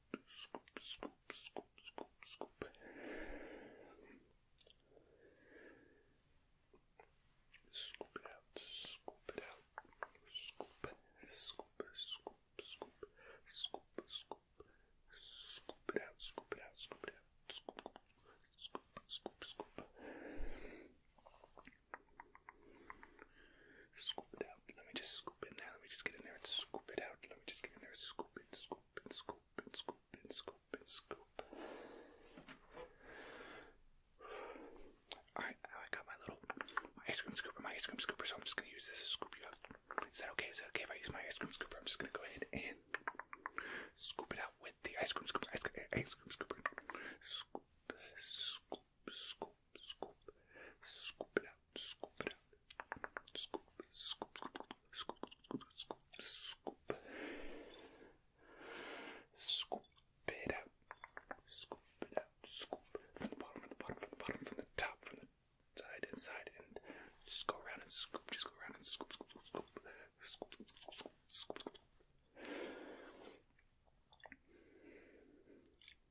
scoop, scoop, scoop, scoop, scoop. Scoop it out, scoop it out, scoop, scoop, scoop, scoop, scoop, scoop, scoop it out, scoop it out, scoop it out, scoop, scoop, scoop, scoop. Scoop it out. Let me just scoop in there. Let me just get in there and scoop it out. Let me just get in there and scoop and scoop scoop scoop scoop scoop. Alright, I got my little ice cream scooper, my ice cream scooper, so I'm just gonna use this to scoop you up. Is that okay? Is that okay if I use my ice cream scooper? I'm just gonna go ahead and scoop it out with the ice cream scooper, ice cream, ice cream scooper. Scoop, scoop, scoop, scoop, scoop it out, scoop it out, scoop, scoop, scoop, scoop, scoop, scoop, scoop it out, scoop it out, scoop from the bottom, from the bottom, from the bottom, from the top, from the side, inside, and just go around and scoop, just go around and scoop, scoop, scoop, scoop, scoop, scoop, scoop, scoop.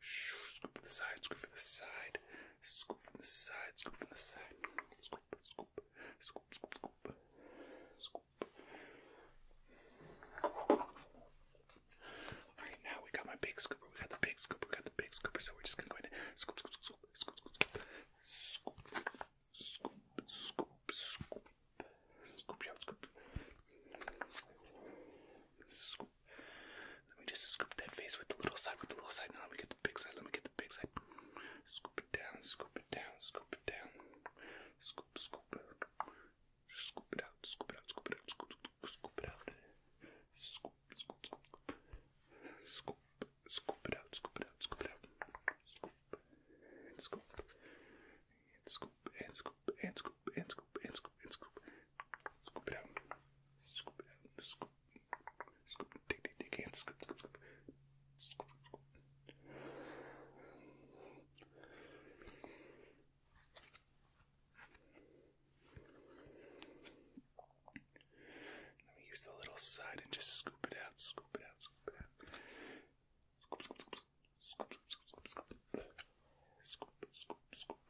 Scoop from the side, scoop from the side, scoop from the side, scoop from the side, scoop, scoop, scoop, scoop, scoop, scoop. Alright, now we got my big scooper, we got the big scooper, we got the big scooper, so we're just gonna go ahead and scoop, scoop, scoop, scoop, scoop, scoop, scoop, scoop, scoop, scoop, Scoop out, scoop. Scoop. Let me just scoop that face with the little side, with the little side. Now let me get the big side. Let me get the big side. Scoop it down, scoop it down, scoop it down. Scoop, scoop. Scoop it out, scoop it out, scoop it out, scoop, scoop, scoop it out. Scoop, scoop, scoop, scoop. Scoop, scoop it out, scoop it out, scoop it out. Scoop, scoop and scoop and scoop and scoop and scoop and scoop and scoop. Scoop it out. Scoop it out. Scoop. Scoop. Dig, dig, dig, and scoop, scoop, scoop. Scoop, scoop. Let me use the little side and just scoop it out, scoop it out, scoop it out. Scoop, scoop, scoop, scoop, scoop, scoop, scoop, scoop,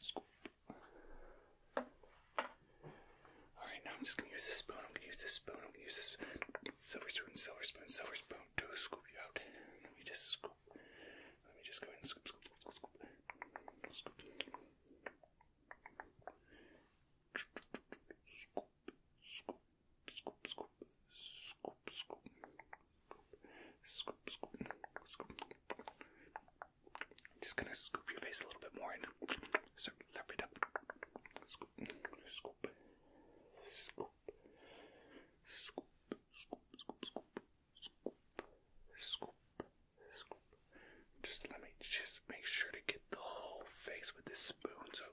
scoop. All right, now I'm just gonna use this spoon. I'm gonna use this spoon. I'm gonna use this silver spoon, silver spoon, silver spoon to scoop you out. Let me just scoop. Let me just go ahead and scoop, scoop, scoop, scoop, scoop. Scoop, scoop, scoop, scoop, scoop, scoop, scoop, scoop, scoop. I'm just gonna scoop your face a little bit more and sort of lap it up. Scoop, scoop, scoop, scoop, scoop, scoop, scoop, scoop, scoop, scoop. Just let me just make sure to get the whole face with this spoon so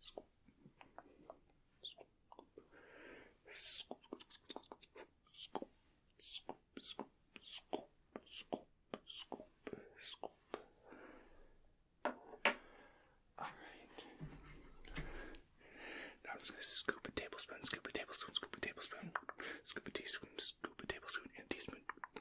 Scoop. Scoop. Scoop. Scoop. Scoop. Scoop. Scoop. Scoop. Scoop. Scoop. Alright. Now I'm just gonna scoop a tablespoon, scoop a tablespoon, scoop a tablespoon, scoop a teaspoon, scoop a tablespoon, and teaspoon.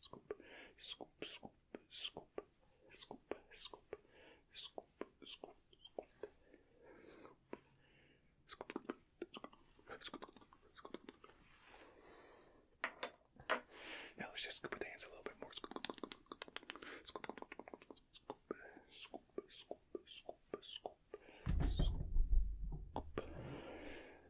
scoop, scoop, scoop, scoop, scoop, scoop, scoop, scoop, now let's just scoop with the hands a little bit more. Scoop, scoop, scoop, scoop, scoop, scoop, scoop,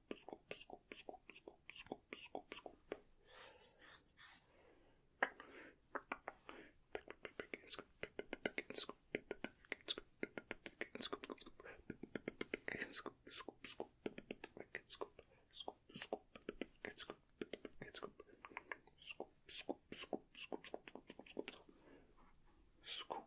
scoop, scoop, scoop, scoop, scoop, scoop, scoop, scoop. Pick and scoop, pick and scoop, pick and scoop, pick and scoop, pick and scoop, scoop, scoop, pick and scoop, scoop, scoop, pick and scoop, pick and scoop, scoop, scoop, scoop, scoop, scoop, scoop, scoop, scoop, scoop,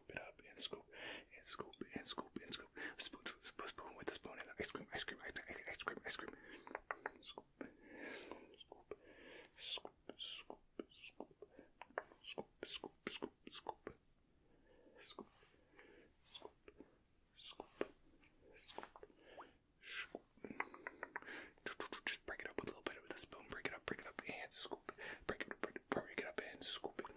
scoop it up and scoop and scoop and scoop and scoop. Spoon, spoon, spoon, spoon with the spoon and ice cream, ice cream, ice cream, ice cream, ice cream. Scoop, scoop, scoop, scoop, scoop, scoop, scoop, scoop, scoop, scoop, scoop, scoop, scoop. Just break it up a little bit with a spoon. Break it up, break it up, and scoop. Break it up, break it up, break it up, and scoop it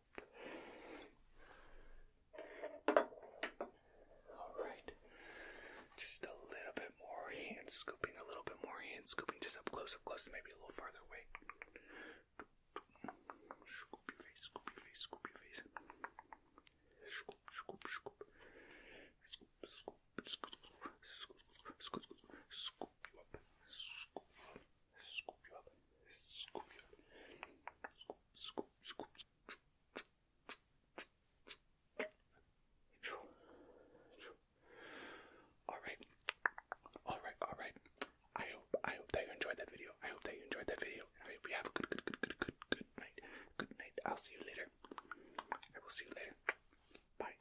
all right. Just a little bit more hand scooping, a little bit more hand scooping, just up close, up close, maybe a little farther away. Scoop your face, scoop your face, scoop your face. Scoop, scoop, scoop. Scoop, scoop, scoop, scoop, scoop, scoop, scoop, scoop you up, scoop up scoop you up, scoop you up, scoop, scoop, scoop. Alright, alright, alright. I hope I hope that you enjoyed that video. I hope that you enjoyed that video. I hope you have a good good good good good good night. Good night. I'll see you later. I will see you later. Bye.